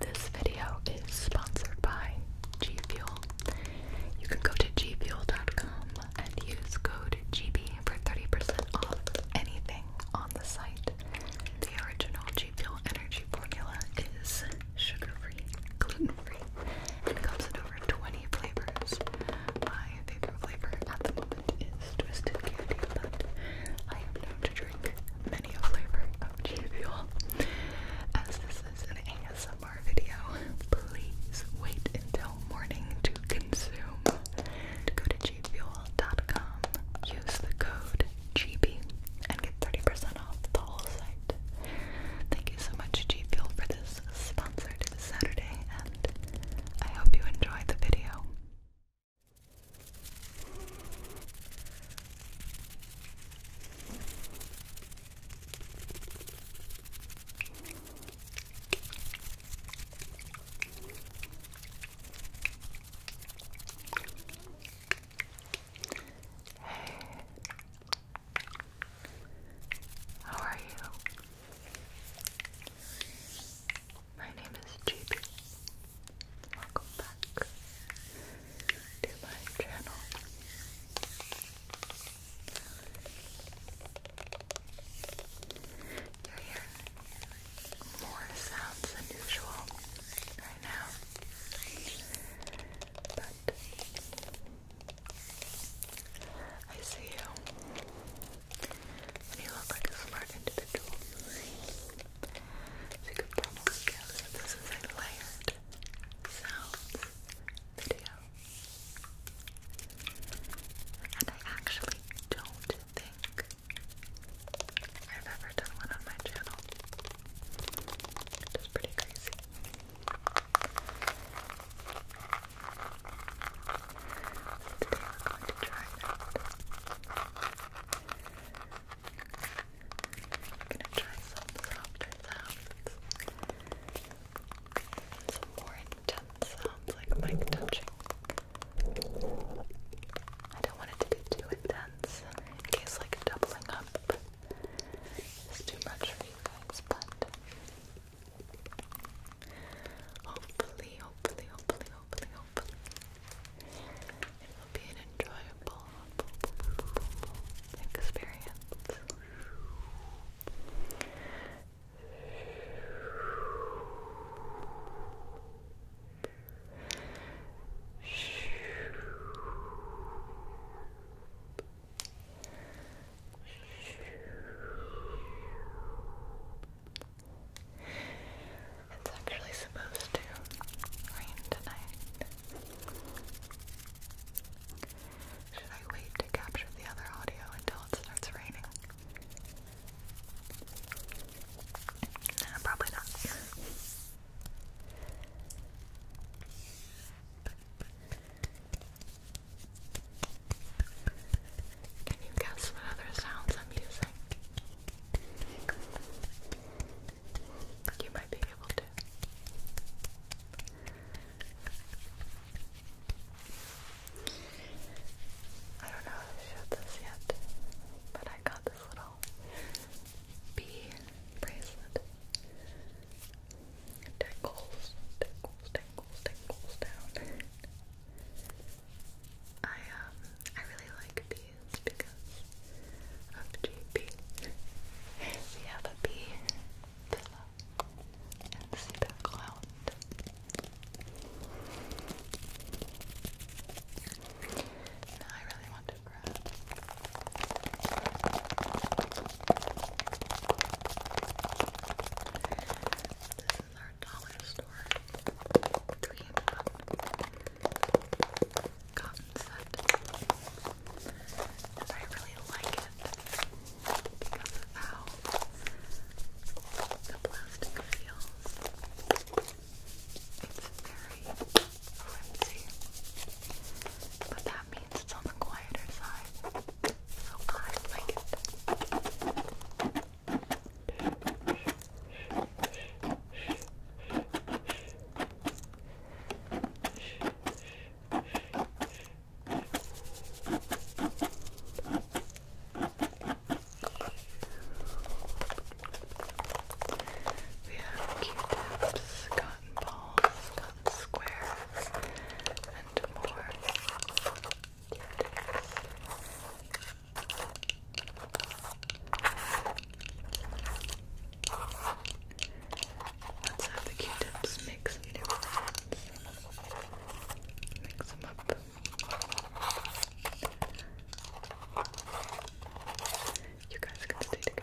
This video is sponsored by G Fuel. You can go to gfuel.com and use code GB for 30% off anything on the site. The original G Fuel energy formula is sugar-free, gluten-free, and comes in over 20 flavors. My favorite flavor at the moment is twisted candy, but I am known to many a of G Fuel. As this is an ASMR video, please wait until morning to consume. Go to gfuel.com, use the code GB, and get 30% off the whole site. Thank you so much, G Fuel, for this sponsored Saturday, and I hope you enjoy the video. Hey, how are you? My name is JP. Welcome back to my channel. You're here. More sounds than usual right now. But I see you. And you look like a smart individual. So you this is a layered sounds video. And I actually don't think I've ever done one on my channel. Which is pretty crazy. Today we're going to try out I'm gonna try some softer sounds. some more intense sounds like mic touching. I don't want it to be too intense in case like doubling up is too much for you guys, but hopefully, hopefully, hopefully, hopefully, hopefully it will be an enjoyable experience. It's actually supposed to rain tonight. Should I wait to capture the other audio until it starts raining? Nah, probably not. Can you guess what other sounds I'm using? You might be able to. I don't know if I showed this yet, but I got this little bee bracelet. tingles, tingles, tingles, tingles down. I um I really like these because of JP. we have a bee pillow and see the cloud. Now I really want to grab this is our dollar store cream cotton, And I really like it because of how the plastic feels. It's very flimsy, but that means it's on the quieter side. So I like it. We have Q-tips, cotton balls, cotton squares, and more Q-tips. Let's have the Q-tips mix the difference. Mix them up. You guys can stay together.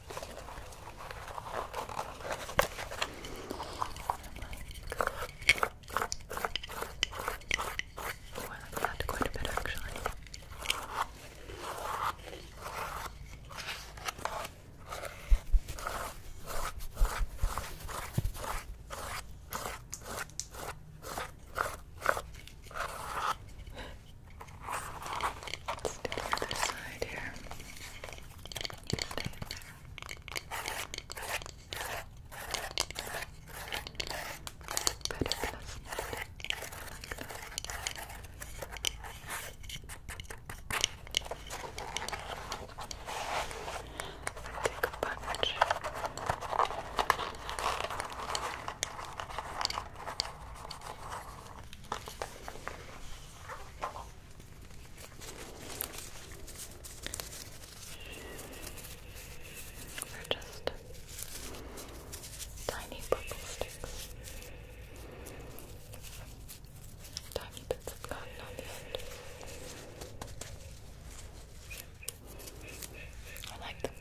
I like that quite a bit actually. Let's do the other side here. You stay in there. Better plus net. Take a bunch. They're just tiny purple Tiny bits of cotton I like them.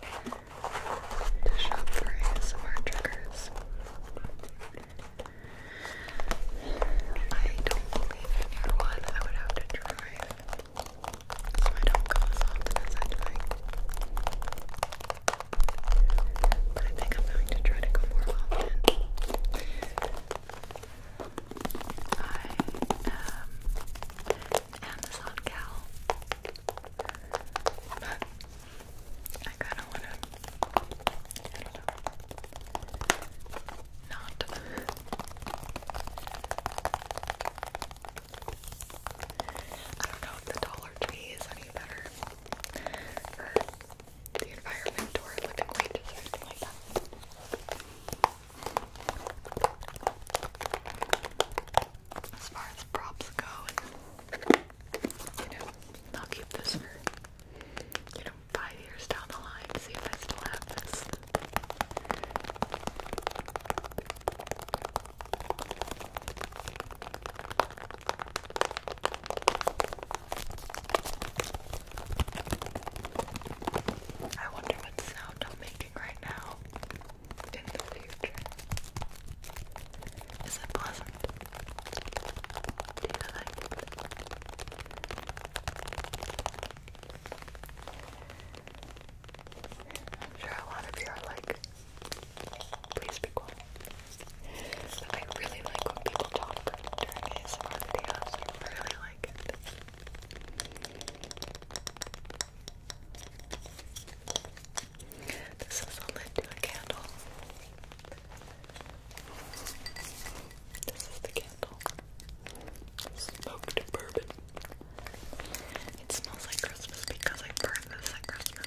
to shop for ASMR triggers. I don't believe I knew one. I would have to drive so I don't go as often as I'd like. But I think I'm going to try to go more often. I am um, Amazon gal. I kind of want to, not. I don't know if the Dollar Tree is any better for the environment or living wages or anything like that. As far as props go, you know, I'll keep this for, you know, five years down the line to see if I still have this. I wonder what sound I'll making right now in the future. Is it pleasant? Do you like it? I'm sure a lot of you are like, please be quiet. I really like when people talk during ASMR videos. I really like it. This is a lid to a candle. This is the candle. Smoked bourbon. It smells like Christmas because I burned this at Christmas.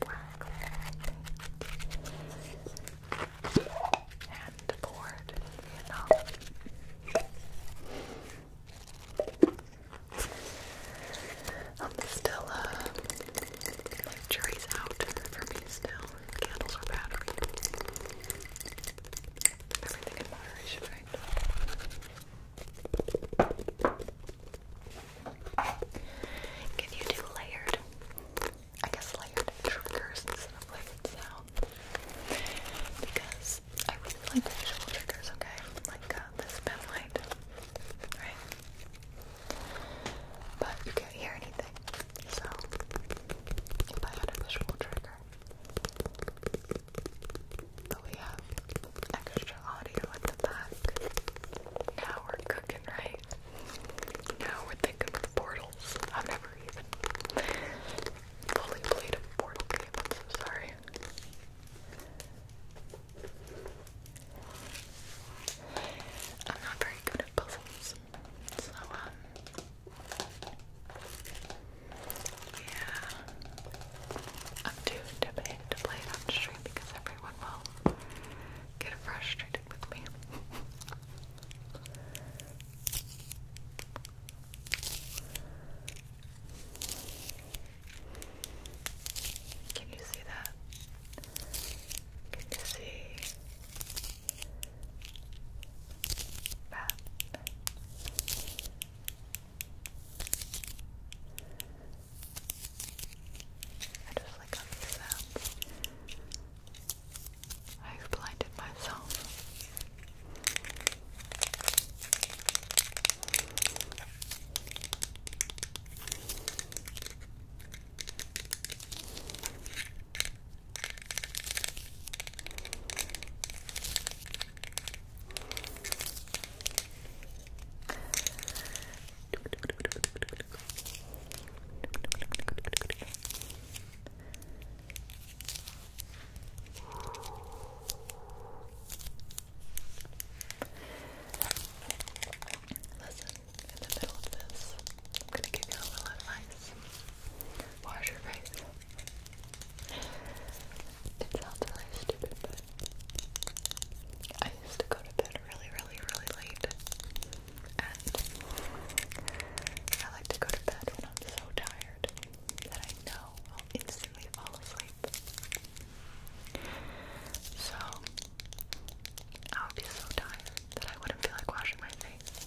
black and poured in um, still, uh, like out for me still. Candles are battery. Everything in moderation, right? Can you do layered? I guess layered triggers Because I really like visual triggers, okay? Like uh, this pen light. Right? But you can't hear anything. So, if I had a visual trigger, but we have extra audio at the Now we're cooking, right? Now we're thinking of portals. I've never even fully played portal game. am sorry. I'm not very good at puzzles, so um, yeah, I'm too timid to play it on stream because everyone everyone will get frustrated with me. Can you see that? Can you see that? I just like on these sounds. I've blinded myself. Listen, in the middle of this, I'm gonna give you a little advice. Wash your face. It sounds really stupid, but I used to go to bed really, really, really late. And I like to go to bed when I'm so tired that I know I'll instantly fall asleep. So I would be so tired that I wouldn't feel like washing my face.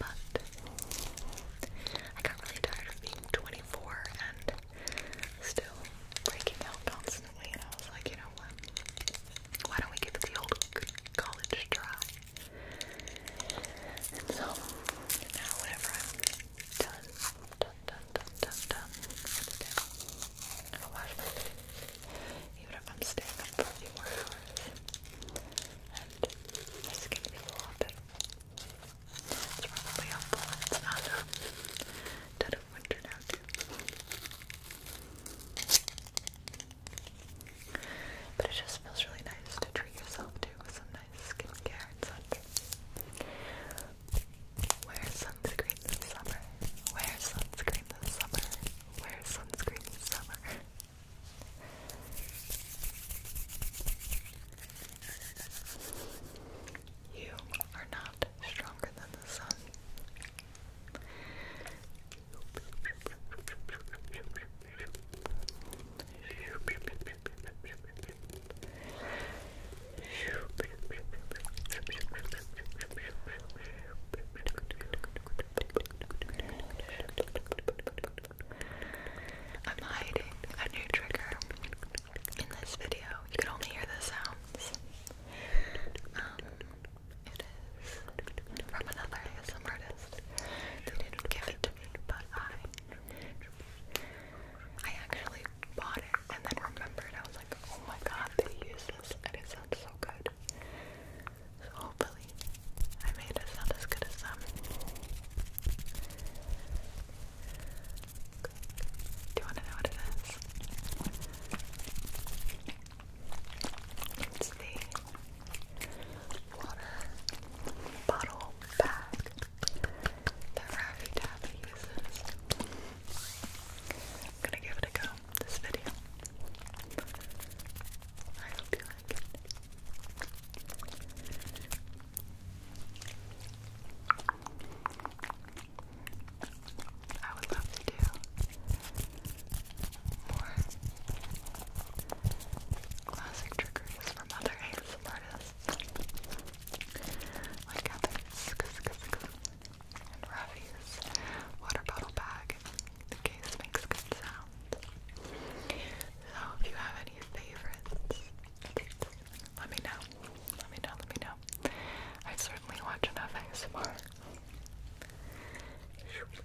But I got really tired of being 24 and still breaking out constantly, and I was like, you know what? Why don't we give the old college try? And so now, whenever I'm done, done, done, done, done, done, it's down. i my face, even if I'm staying up for a few more hours, and my skin feels a lot better. It's probably helpful when it's not dead of winter now too. But it just feels really nice to treat yourself to with some nice skincare and such. Wear sunscreen this summer. Wear sunscreen this summer. Wear sunscreen this summer. You are not stronger than the sun. I'm hiding a new trigger in this video. You can only hear the sounds. Um, it is from another ASM artist. They didn't give it to me, but I I actually bought it and then remembered. I was like, oh my god, they use this and it sounds so good. So hopefully I made it sound as good as them. Do you want to know what it is? It's the water bottle bag that Ravi Tabby uses. gonna give it a go this video. I hope you like it. I would love to do more classic trickeries from other ASMR artists like Heather's and Ravi's water bottle bag. The case makes good sound. So if you have any favorites let me know. Let me know, let me know. I certainly watch enough ASMR. Scoop.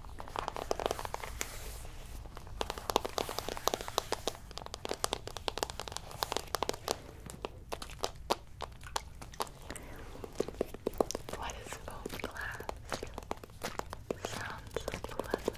What is foam glass? Sounds pleasant.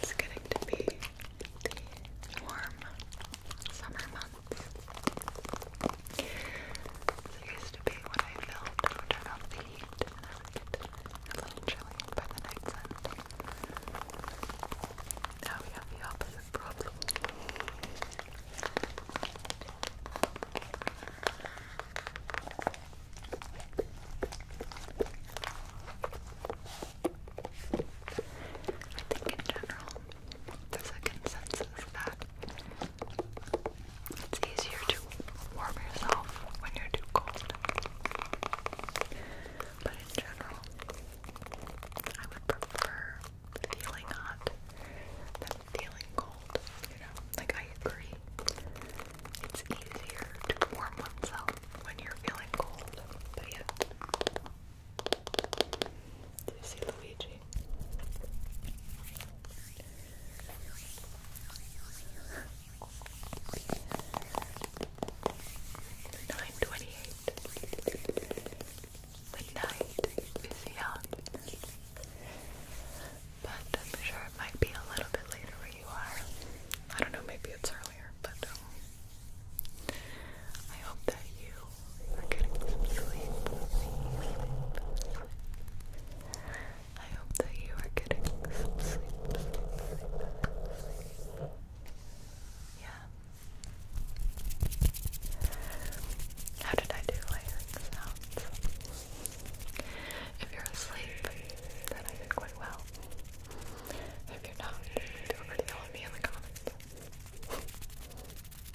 It's getting to be the warm summer months. It used to be when I filmed, I the heat and I would a little chilly by the night's end. Now we have the opposite problem. I think in general, there's a consensus that it's easier to warm yourself when you're too cold. But in general, I would prefer feeling hot than feeling cold. You know, like I agree. It's easier to warm oneself when you're feeling cold. But yeah. Do you see Luigi? Nine twenty-eight. The night but I'm sure it might be a little bit later where you are. I don't know, maybe it's earlier, but um, I hope that you are getting some sleep. Sleep, sleep, sleep. I hope that you are getting some sleep. Yeah. How did I do If you're asleep, then I did quite well. If you're not, feel free to tell me in the comments. Hopefully,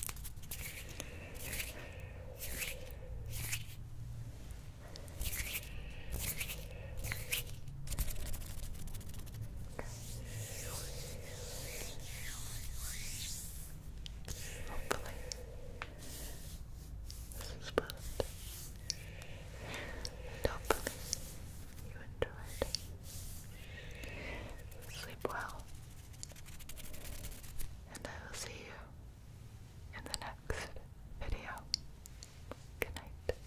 this is hopefully, you enjoyed. Sleep well. And I will see you in the next video. Good night.